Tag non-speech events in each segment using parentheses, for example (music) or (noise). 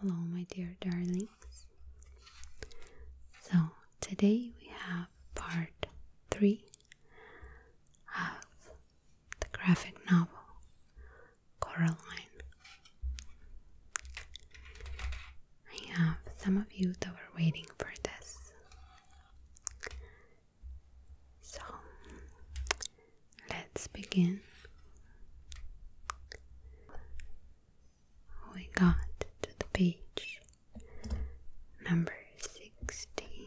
Hello, my dear darlings. So, today we have part 3 of the graphic novel Coraline. I have some of you that were waiting for this. So let's begin. We got to the beach, number sixteen.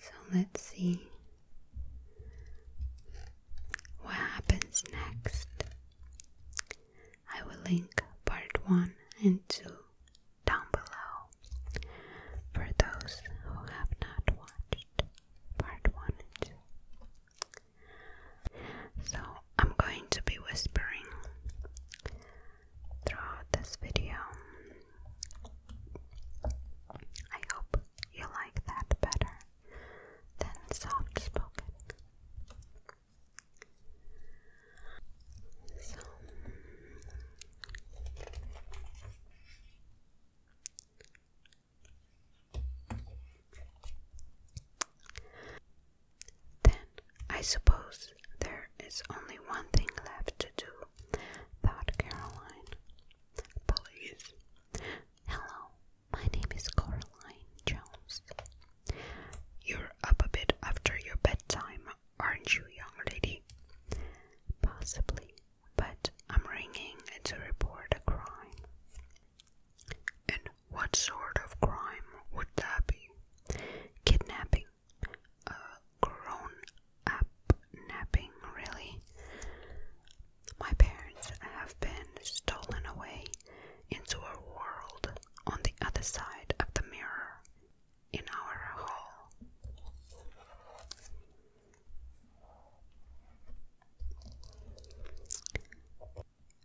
So let's see what happens next. I will link part 1 and 2 down below for those who have not watched part 1 and 2. So I'm going to be whispering throughout this video. I hope you like that better than soft spoken. then I suppose there is only one thing left to do, thought Caroline. Police. Hello, my name is Coraline Jones. You're up a bit after your bedtime, aren't you, young lady? Possibly, but I'm ringing to report a crime. And what sort of crime would that be? Kidnapping. A grown up napping, really. My parents have been stolen away into a world on the other side of the mirror in our hall.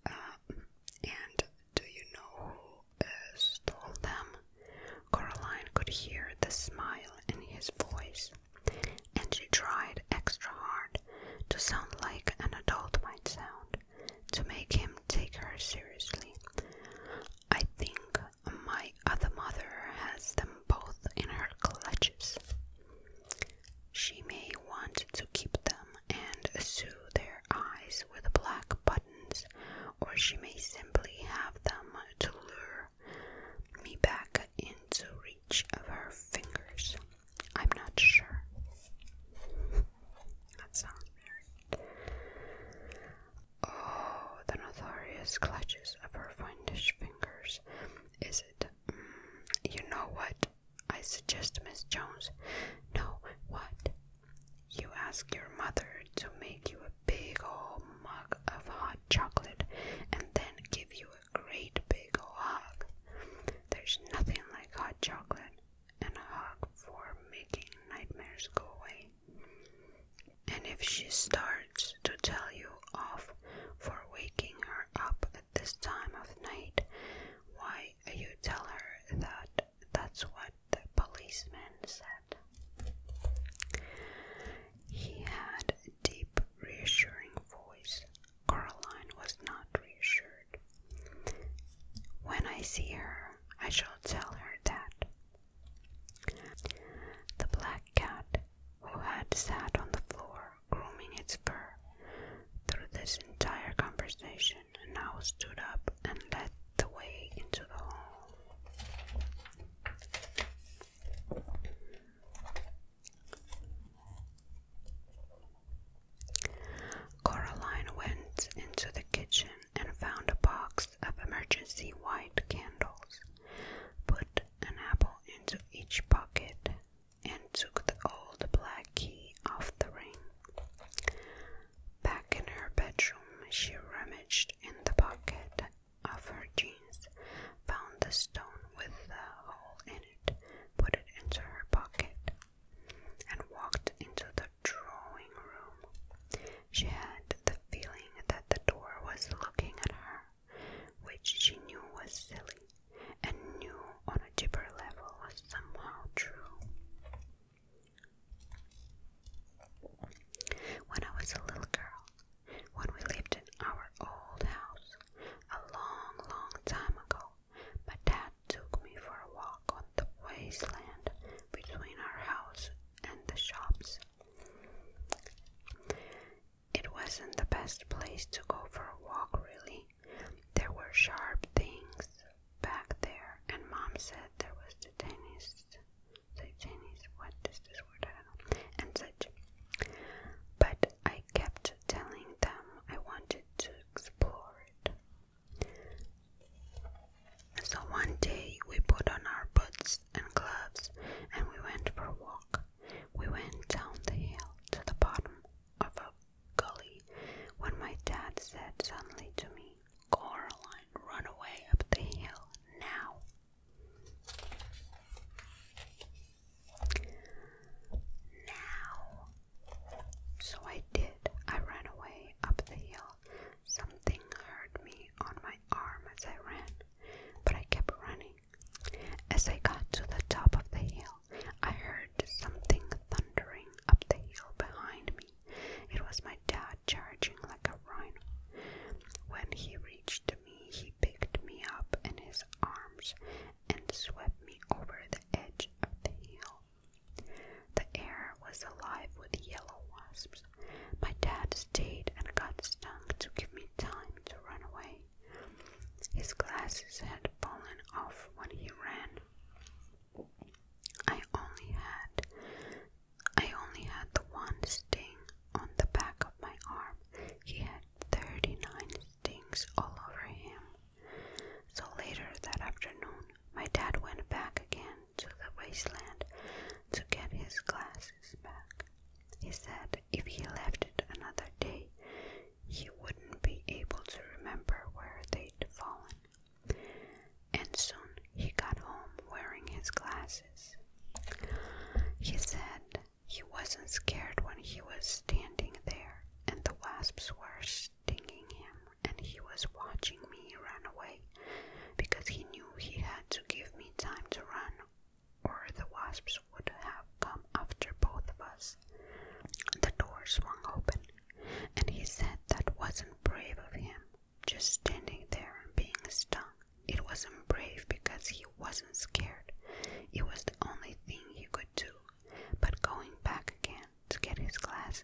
Uh, and do you know who uh, stole them? Caroline could hear the smile in his voice and she tried extra hard to sound like an adult might sound, to make him take her seriously. I think my other mother has them both in her clutches. She may want to keep them and sew their eyes with black buttons, or she may simply have them to lure me back into reach of her fingers. I'm not sure. (laughs) That sounds weird. Oh, the notorious clutches of her fiendish fingers. Is it? Mm, you know what? I suggest, Miss Jones. No, what? You ask your mother to make you a big old mug of hot chocolate and then give you a great big hug. There's nothing like hot chocolate and a hug for making nightmares go away. And if she starts to tell you off for waking her up at this time of night, why you tell her that that's what the policeman said. He had a deep, reassuring voice. Caroline was not reassured. When I see her, I shall tell her that. The black cat, who had sat on the floor grooming its fur through this entire conversation, now stood up and led the way into the hall. Caroline went into the kitchen and found a box of emergency white candles, put an apple into each pocket, and took the old black key off the ring. Back in her bedroom, she rummaged in the pocket of her jeans, found the stone with the hole in it, put it into her pocket, and walked into the drawing room. She had the feeling that the door was looking at her, which she knew was silly, and knew on a deeper level was somehow true. When I was a little girl, when we lived in our old house a long, long time ago, but Dad took me for a walk on the wasteland between our house and the shops. It wasn't the best place to go for a walk, really. There were sharp things back there, and Mom said there was the tennis. The tennis, what is this word? and such. But I kept telling them I wanted to explore it. So one day we put on our boots and gloves and we went for a walk. We went down the hill to the bottom of a gully when my dad said suddenly to me, Coraline, run away up the hill now. Now, so I did. I ran away up the hill. Something hurt me on my arm as I ran, but I kept running. As I got to the top of the hill, I heard something thundering up the hill behind me. It was my dad charging like a rhino. When he reached me, he picked me up in his arms and swept me over the edge of the hill. The air was alive with yellow wasps. My dad stayed and got stung to give me time to run away. His glasses had fallen off when he ran. I only had I only had the one sting on the back of my arm. He had 39 stings all over him. So later that afternoon, my dad went back again to the wasteland to get his glasses back. He said if he left it another day, he wouldn't be able to remember where they'd fallen. And soon he got home wearing his glasses. He said he wasn't scared when he was standing there and the wasps were stinging him, and he was watching me run away because he knew he had to give me time to run, or the wasps would have come after both of us. The door swung open, and he said that wasn't brave of him, just standing there and being stung. It wasn't brave because he wasn't scared. It was the only thing he could do. But going back again to get his glasses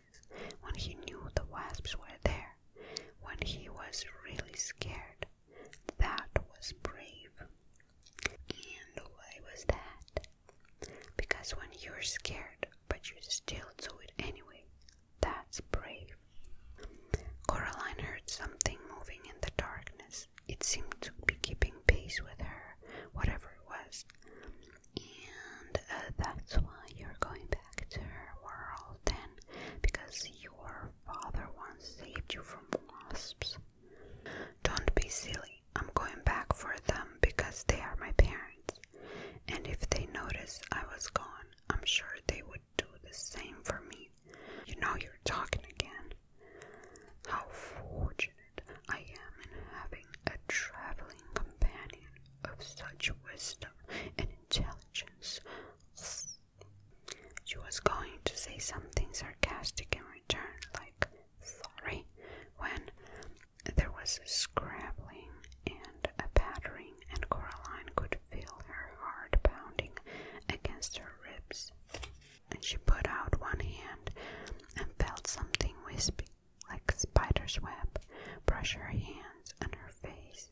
when he knew the wasps were there, when he was really scared, that was brave. And why was that? Because when you're scared, but you still do it anyway, that's brave. Coraline heard something moving in the darkness it seemed to be keeping pace with her, whatever it was. And uh, that's why you're going back to her world then, because your father once saved you from wasps. Don't be silly. I'm going back for them because they are my parents. And if they notice I was gone, I'm sure they would do the same for me you know you're talking again. How fortunate I am in having a traveling companion of such wisdom and intelligence. She was going to say something sarcastic in return, like sorry, when there was a scrabbling and a pattering, and Coraline could feel her heart pounding against her ribs and she put out one hand and felt something wispy, like a spider's web, brush her hands and her face.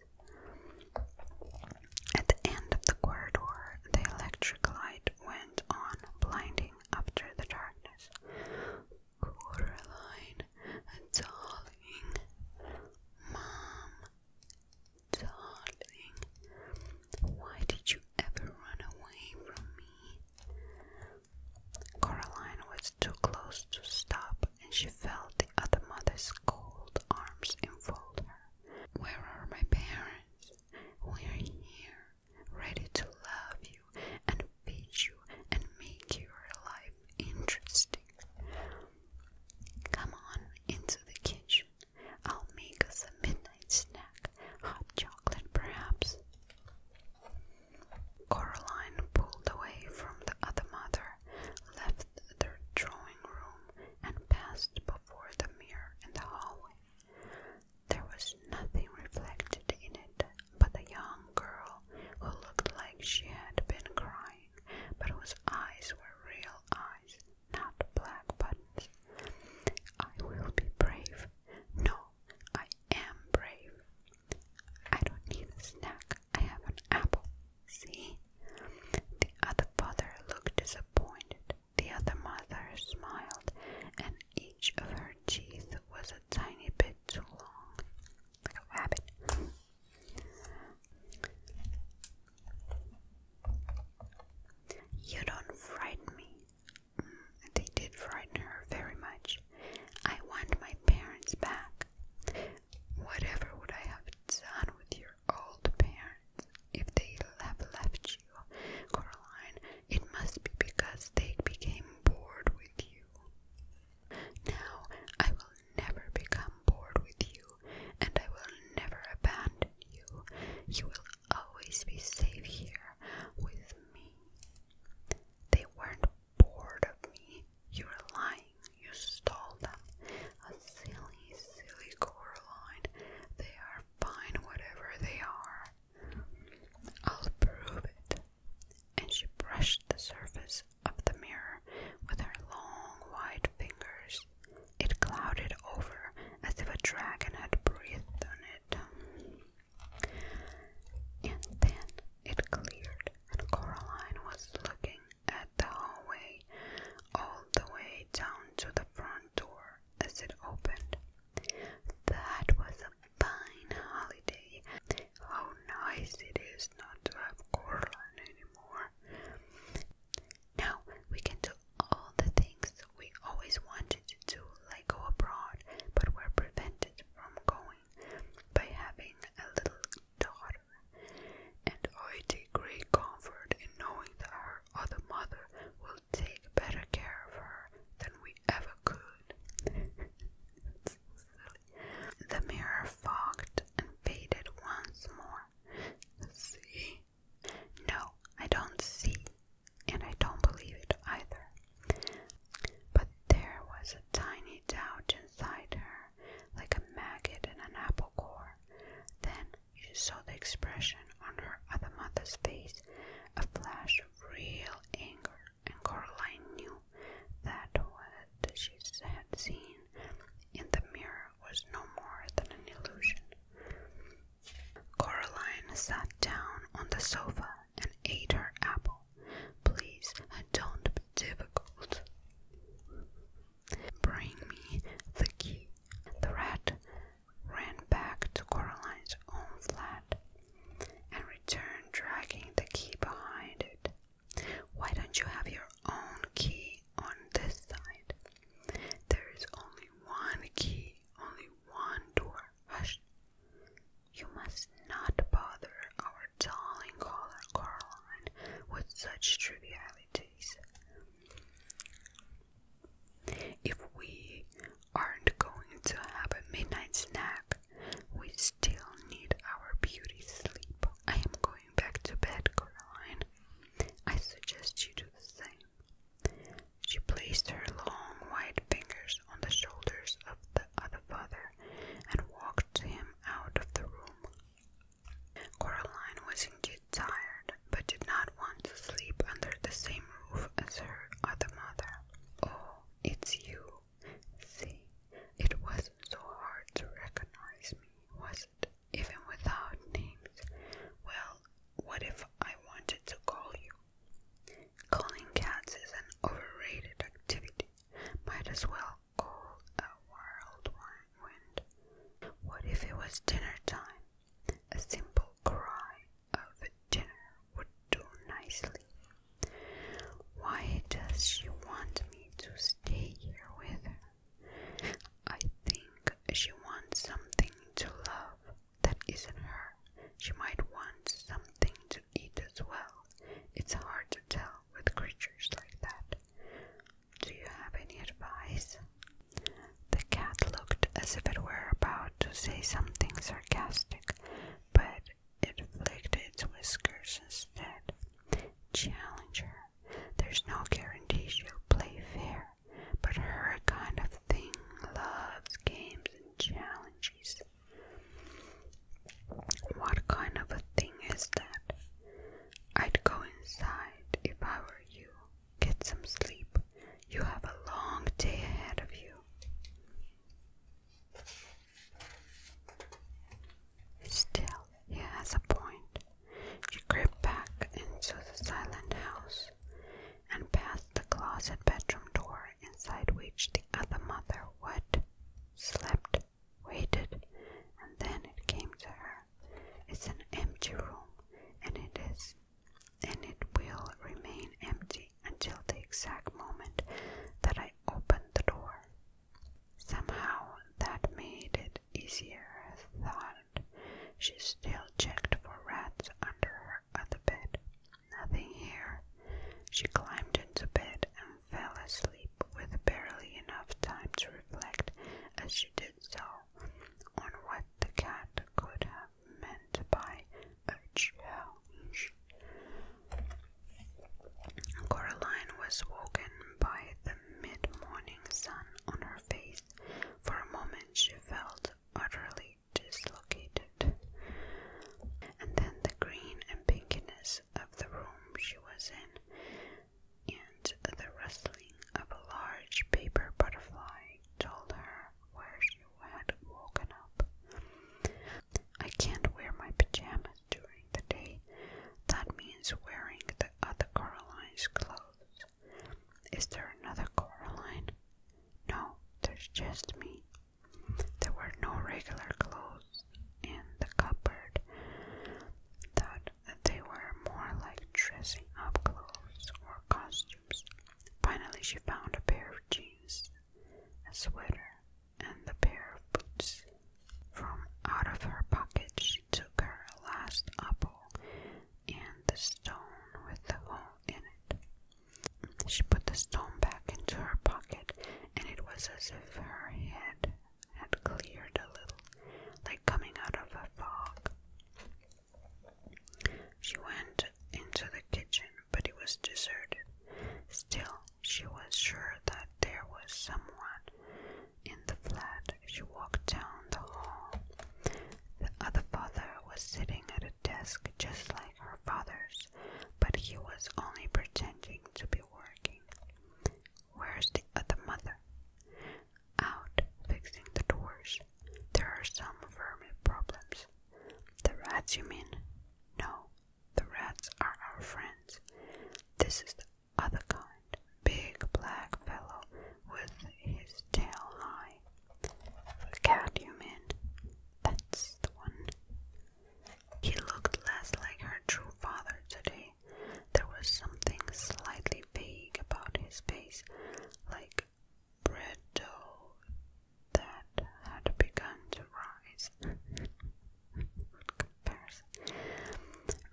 At the end of the corridor, the electric light went on, blinding after the darkness. Coraline, darling, Mom, darling, why did you ever run away from me? Coraline was too close to stop, and she felt the other mother's cold arms enfold her. Where are my parents? We're here, ready to love you and feed you and make your life interesting. Come on into the kitchen. I'll make us a midnight snack, hot chocolate perhaps. Coraline pulled away from the other mother, left the drawing room, and passed before the mirror in the hallway. There was nothing reflected in it but a young girl who looked like she had been crying, but whose eyes were real eyes not black buttons. I will be brave. No, I am brave. I don't need a snack. I have an apple. See? The other father looked disappointed. The other mother smiled, and each of her teeth was a tiny bit too long, like a rabbit. You don't frighten me. Mm, they did frighten her very much. I want my parents back. Whatever would I have done with your old parents if they have left you, Coraline? It must be because they became bored with you. Now I will never become bored with you, and I will never abandon you. You will always be safe here with me. They weren't bored of me. You are lying. You stole them. A silly, silly girl, Coraline. They are fine, whatever they are. I'll prove it. And she brushed the surface of the mirror with her long, white fingers. It clouded over as if a dragon had breathed on it. And then it cleared, and Coraline was looking at the hallway all the way down to the front door as it opened. That was a fine holiday. How nice it is not to have Coraline anymore. Now we can do all the things we always wanted to do, like go abroad, but were prevented from going by having a little daughter. And I take great comfort in knowing that her other mother will take better care of her than we ever could. The mirror fogged and faded once more. See, no, I don't see, and I don't believe it either. But there was a tiny doubt inside her, like a maggot in an apple core. Then she saw the expression on her other mother's face, a flash of real anger, and Coraline knew that what she had seen in the mirror was no more than an illusion. Coraline sat down on the sofa and ate her apple. Please don't be difficult. Bring me the key. The rat ran back to Coraline's own flat and returned dragging the key behind it. Why don't you have your own key on this side? There is only one key, only one door. Hush! You must not bother our darling caller Caroline with such trivialities. If we aren't going to have a midnight snack, we still need our beauty sleep. I am going back to bed, Caroline. I suggest you do the same. She placed her long white fingers on the shoulders of the other father and walked him out of the room. Coraline was indeed tired, but did not want to sleep under the same roof as her other mother. Oh, it's you. See, it wasn't so hard to recognize me, was it? even without names. Well, what if I wanted to call you? Calling cats is an overrated activity. Might as well call a wild wind. What if it was dinner time? A simple cry of dinner would do nicely. Why does she want me to stay here with her? I think she wants something to love, that isn't her. She might want something to eat as well. It's hard to tell with creatures like that. Do you have any advice? The cat looked as if it were about to say something sarcastic, but it flicked its whiskers instead. Challenge her. There's no guarantee she'll play fair but her kind of thing loves games and challenges. What kind of a thing is that? I'd go inside if I were you. Get some sleep. You have a long day ahead of you. Still, he has a point. She crept back into the silent house and past the closet bedroom door inside which the other mother would, slept waited and then it came to her it's an empty room and it is and it will remain empty until the exact moment that i open the door somehow that made it easier thought she still checked for rats under her other bed. Nothing here. She climbed into bed and fell asleep with barely enough time to reflect as she did so on what the cat could have meant by a challenge. Coraline was woken by the mid morning sun on her face. For a moment she felt utterly dislocated. And then the green and pinkiness of the room she was in, and the rustling of a large paper butterfly told her where she had woken up. I can't wear my pajamas during the day. That means wearing the other Caroline's clothes. Is there another Coraline? No, there's just me. There were no regular clothes in the cupboard, that they were more like dressing up clothes or costumes. Finally, she found a pair of jeans, a sweater, and a pair of boots. From out of her pocket, she took her last apple and the stone with the hole in it. She put the stone back into her pocket, and it was as if her head had cleared a little, like coming out of a fog. She went into the kitchen, but it was deserted. Still, she was sure that there was someone in the flat. She walked down the hall. Uh, the other father was sitting at a desk just like her father's, but he was only pretending to be working. Where's the other mother? Out fixing the doors. There are some vermin problems. The rats, you mean? No, the rats are our friends. This is the other kind. Big black fellow with his tail high Cadhuman. That's the one. He looked less like her true father today. There was something slightly vague about his face, like bread dough that had begun to rise. (laughs) Good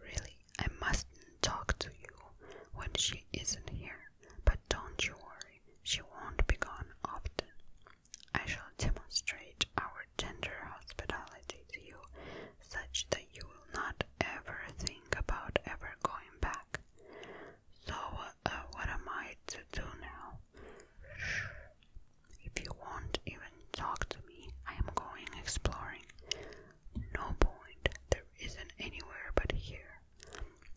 Really, I must talk to you when she isn't here. But don't you worry, she won't be gone often. I shall demonstrate our tender hospitality to you, such that you will not ever think about ever going back. So, uh, what am I to do now? If you won't even talk to me, I am going exploring. No point, there isn't anywhere but here.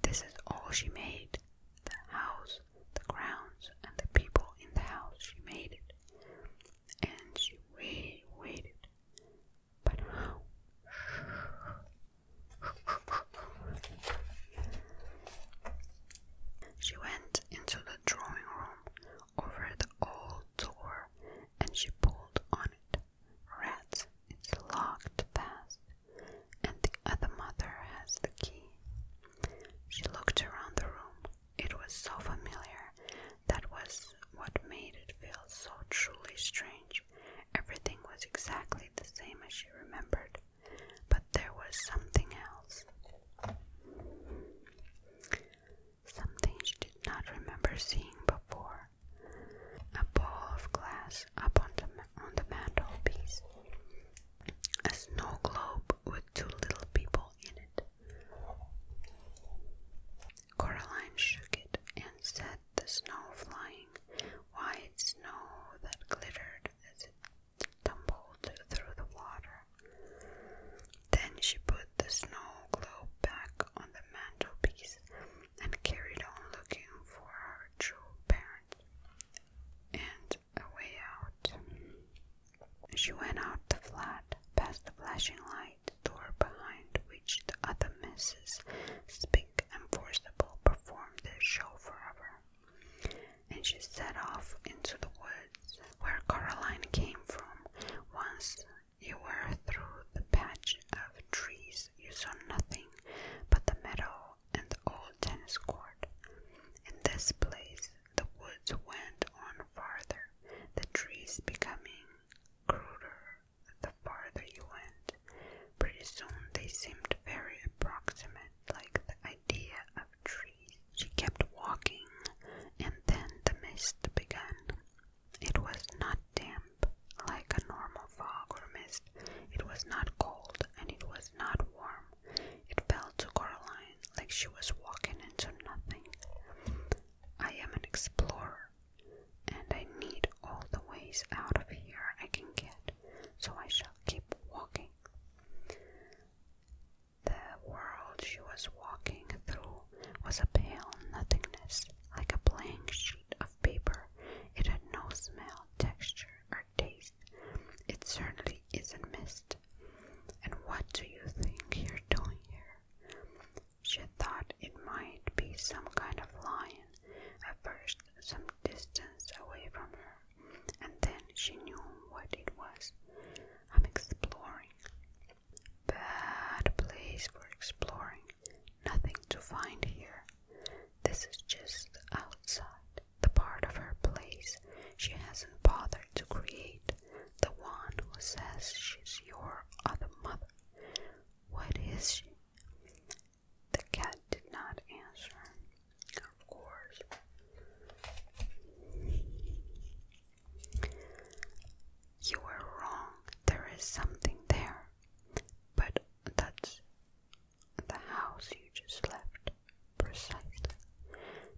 This is all she made the house, the grounds, and the people in the house. She made it. And she waited, But She went into the drawing room over the old door and she pulled on it. Rats, it's locked fast and the other mother has the key. She looked around the room. It was so familiar. That was what made it feel so truly strange. Everything was exactly the same as she remembered, but there was something else. Something she did not remember seeing before a bowl of glass up the mantelpiece, a snow globe with two little people in it. Coraline shook it and set the snow flying, white snow that glittered as it tumbled through the water. Then she put the snow globe back on the mantelpiece and carried on looking for her true parents and a way out. She went out the flat, past the flashing light door behind which the other misses, Spink and Forcible, performed their show forever. And she set off into the woods where Caroline came from. Once you were through the patch of trees you saw nothing but the meadow and the old tennis court. In this place, the woods went on farther, the trees becoming cruder the farther you went. Pretty soon they seemed very approximate, like the idea of trees. She kept walking, and then the mist began. It was not dim, like a normal fog or mist. It was not cold and it was not warm. It felt to Caroline like she was walking into nothing. I am an explorer, and I need all the ways out of here I can get, so I shall keep walking. The world she was walking through was a pale nothingness, like a blank sheet of paper. It had no smell, texture, or taste. It certainly isn't mist. And what do you think you're doing here? She thought it might be some kind of lion, at first some distance away from her, and then she knew what it was. I'm exploring. Bad place for exploring, nothing to find here. This is just outside, the part of her place she hasn't bothered to create, the one who says she's your other mother. What is she? The cat did not answer. Of course. You were wrong. There is something there. But that's the house you just left. Precisely.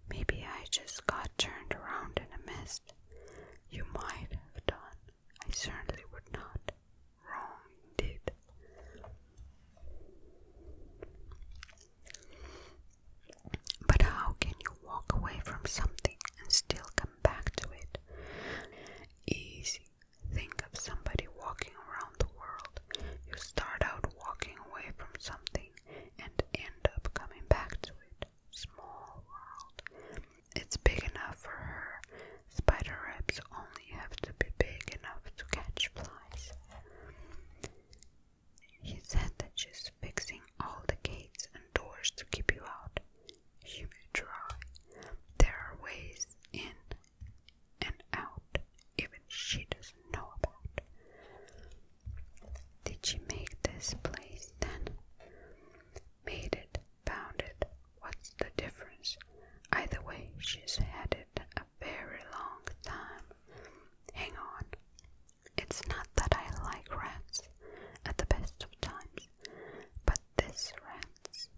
Maybe I just got turned around in a mist. You might have done. I certainly would not. Wrong indeed. But how can you walk away from something and still come back to it? Easy, Think of somebody walking around the world. You start out walking away from something and end up coming back to it. Small world. It's big enough for her. Spider webs only have to be big enough to catch flies. He said that she's fixing all the gates and doors to keep you out. You may try. There are ways in and out even she doesn't know about. Did she make this place then? Made it, found it, what's the difference? Either way, she's had it a very long time. Hang on. It's not that I like rats at the best of times, but this rat's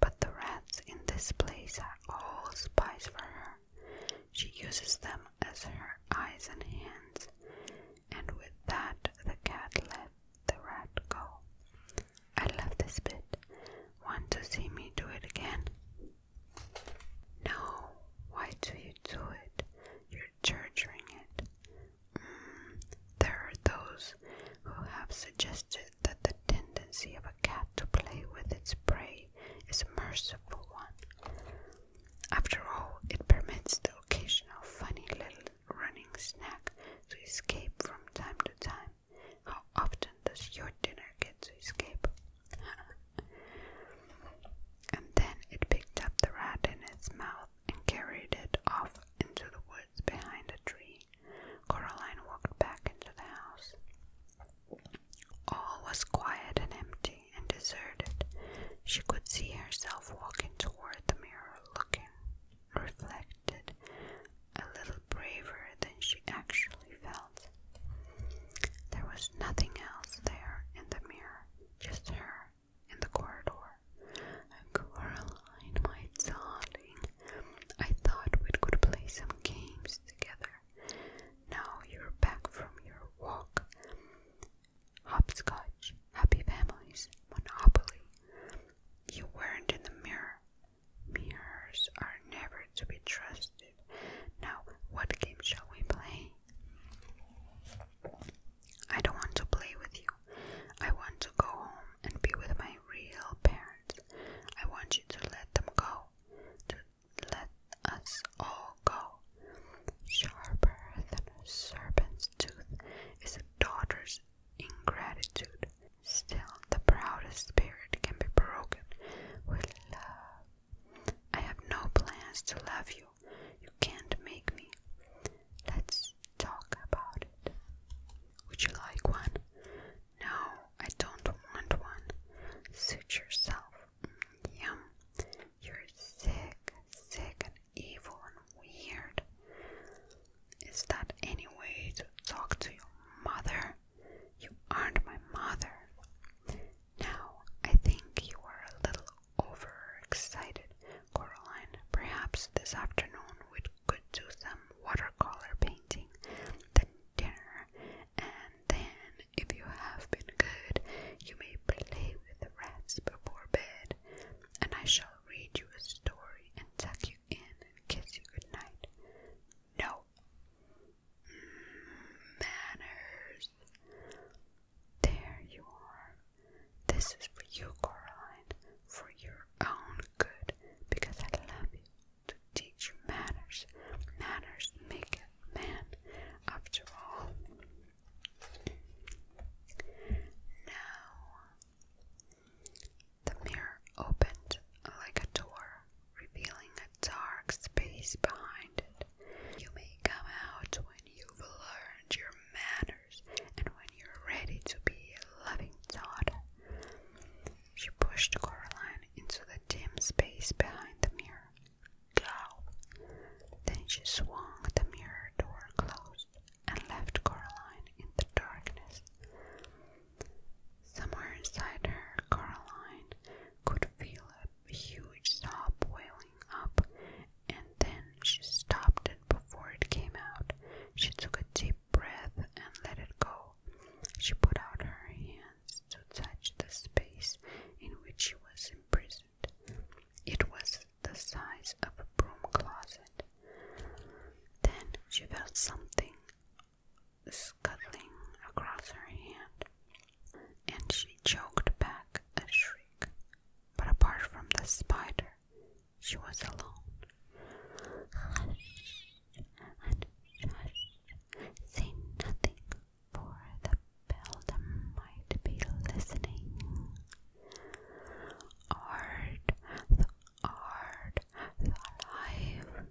but the rats in this place are all spies for her. She uses them as her eyes and hands, and with that the cat let the rat go. I love this bit. Want to see me do it again? No, why do you do it? You're torturing it. Mm, there are those who have suggested that the tendency of a cat to play with its prey is a merciful one. After all, it permits the occasional funny little running snack to escape from time to time. How often does your dinner get to escape? (laughs) and then it picked up the rat in its mouth and carried it off into the woods behind a tree. Caroline walked back into the house. All was quiet and empty and deserted. She could see herself walking toward the mirror, looking reflected, a little braver than she actually felt. There was nothing else there in the mirror, just her in the corridor. Caroline, my darling, I thought we could play some games together. Now you're back from your walk. Hopscotch, happy families, monopoly. You weren't in the mirror. Mirrors are never to be trusted. Now, what game shall we play? I don't want to play with you. I want to go home and be with my real parents. I want you to let them go. To let us all go. Sharper than a serpent's tooth is a daughter's ingratitude. Still, the proudest spirit can be broken with love. I have no plans to love you. You can't make me. Let's talk about it. Would you like one? No, I don't want one. Suit yourself. Yum. You're sick, sick, and evil, weird. Is that any way to talk to your mother? You aren't my mother. Now, I think you are a little overexcited, Coraline. Perhaps this afternoon we could do some watercolor painting the dinner, and then, if you have been good, you may play with the rats before bed, and I shall read you a story and tuck you in and kiss you good night. No. Manners. There you are. This is for you, Coraline, for your own good, because I love you to teach manners. Manners make a man, after all. Now, the mirror opened like a door, revealing a dark space behind it. You may come out when you've learned your manners and when you're ready to be a loving daughter. She pushed Coraline into the dim space behind the mirror. Go! Then she swung the mirror door closed and left Coraline in the darkness. Somewhere inside her, Coraline could feel a huge sob wailing up, and then she stopped it before it came out. She took a deep breath and let it go. She put out her hands to touch the space in which she was imprisoned. It was the size of a broom closet. Then she felt something scuttling across her hand, and she choked back a shriek. But apart from the spider, she was alone and shush, say nothing, for the beldam might be listening. Art, the art, the alive.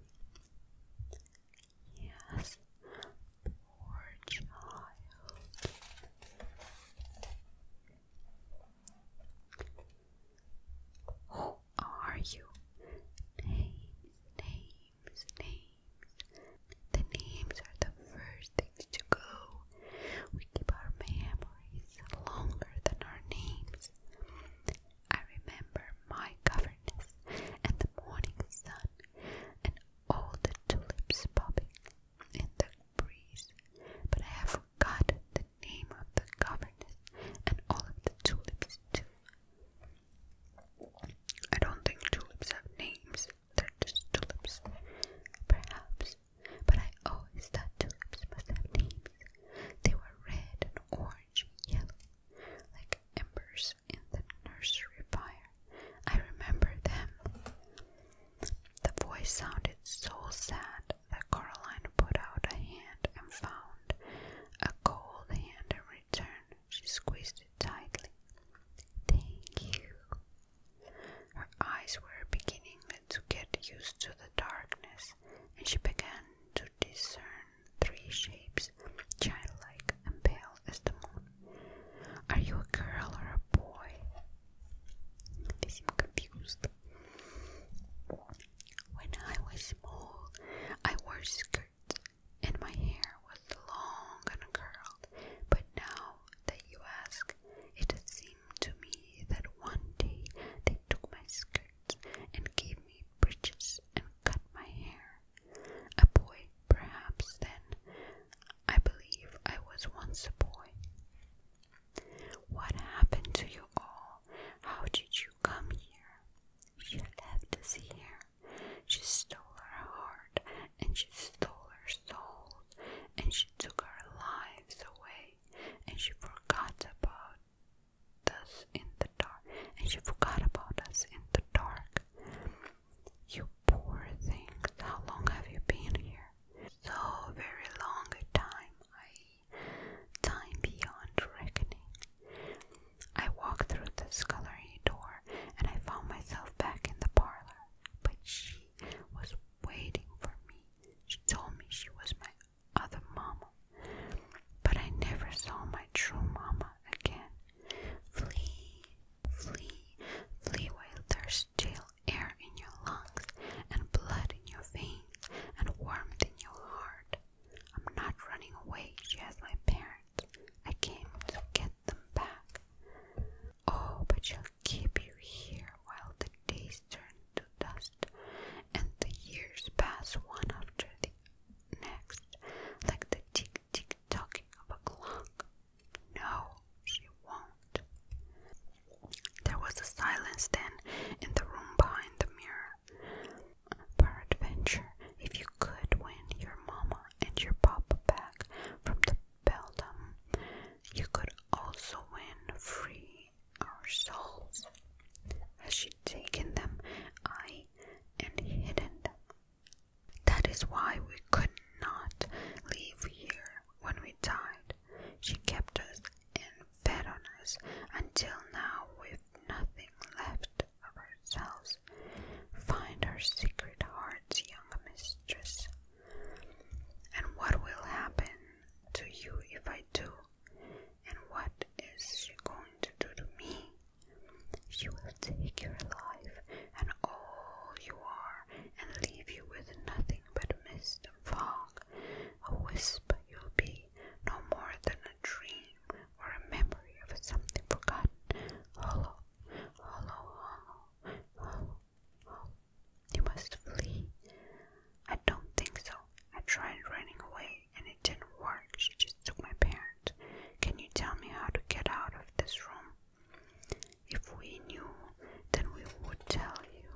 Yes, poor child. Who are you? Names, names, names. The names are the first things to go. We keep our memories longer than our names. I remember my governess and the morning sun and all the tulips popping in the breeze, but I have forgotten the name of the governess and all of the tulips too. I don't think tulips have names, they're just tulips. Perhaps, but I always thought tulips must have names. They were red and orange and yellow, like embers in the nursery fire. I remember them. The voice sounded so sad that Caroline put out a hand and found a cold hand in return. She squeezed it tightly. Thank you. Her eyes were beginning to get used to the darkness, and she began to discern three shapes, childlike and pale as the moon. Are you a girl or a boy? They seem confused. When I was small, I wore skirts and my hair was long and curled, but now that you ask, it seemed to me that one day they took my skirts and gave me breeches and cut my hair. A boy, perhaps then. I believe I was once a boy. What happened to you all? How did you come here? She left us here. She stole her heart, and she stole her soul, and she took her life away, and she forgot about us in the dark, and she forgot about us in the dark. You poor things, how long have you been here? So very long a time. I time beyond reckoning. I walked through the scullery door and I found myself back in the parlor, but she was waiting for me. She told me she was my other mama, but I never saw my true mama again. Flee, flee, flee while there's still air in your lungs, and blood in your veins, and warmth in your heart. I'm not running away, she has my parents. I came to get them back. Oh, but she'll keep you here while the days turn to dust and the years pass one after the next, like the tick tick tock of a clock. No, she won't. There was a silence then in the room behind the mirror. Peradventure, if you could win your mama and your papa back from the beldam, you could also win free our souls. Has she taken them, I and hidden them? That is why we could not leave here when we died. She kept us and fed on us until now we've nothing left of ourselves, find our secret heart's young mistress. And what will happen to you if I do? And what is she going to do to me? She will take your life and all you are and leave you with nothing but mist and fog. A wisp you'll be, no more than a dream or a memory of something forgotten. Hollow, hollow, hollow, hollow, You must flee. I don't think so. I tried running away and it didn't work. She just took my parents. Can you tell me how to get out of this room? If we knew, then we would tell you.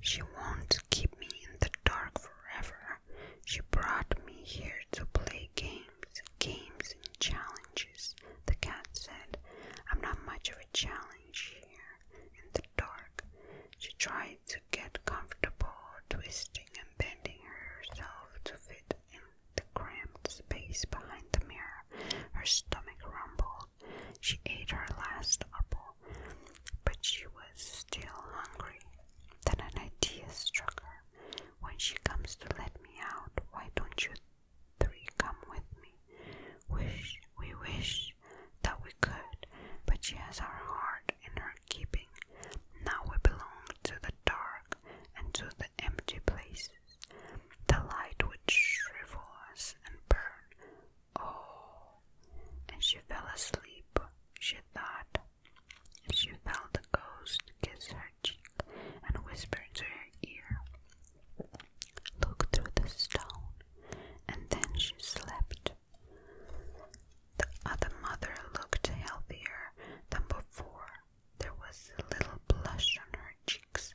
She won't keep me in the dark forever. She brought me here to play games, games and challenges, the cat said. I'm not much of a challenge here in the dark. She tried to get comfortable, twisting and bending herself to fit in the cramped space behind the mirror. Her stomach rumbled. She ate her last apple, but she was still hungry. Then an idea struck her. When she comes to let me out, why don't you three come with me? Wish we wish that we could, but she has our heart in her keeping. Now we belong to the dark and to the empty places. The light would shrivel us and burn. Oh, and she fell asleep, she thought. She felt the ghost kiss her cheek and whisper into her ear, Look through the stone, and then she slept. The other mother looked healthier than before. There was a little blush on her cheeks,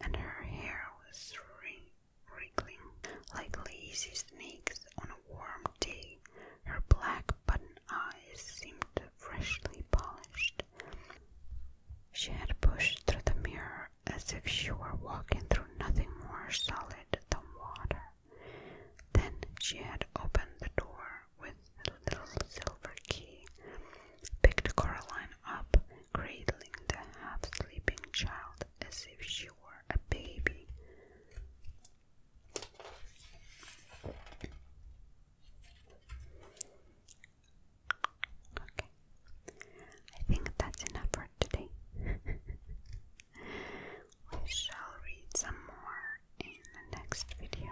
and her hair was wriggling like lazy snakes on a warm her black button eyes seemed freshly polished. She had pushed through the mirror as if she were walking through nothing more solid than water. Then she had opened the door with a little silver key, picked Coraline up, cradling the half sleeping child as if she were a baby. Okay. I think that's enough for today. (laughs) we shall read some more in the next video.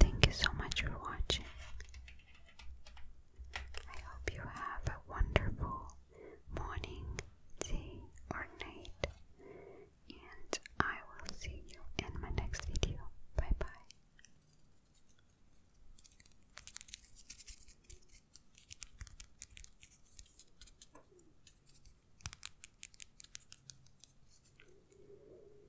Thank you so much for watching. I hope you have a wonderful morning, day, or night. And I will see you in my next video. Bye bye.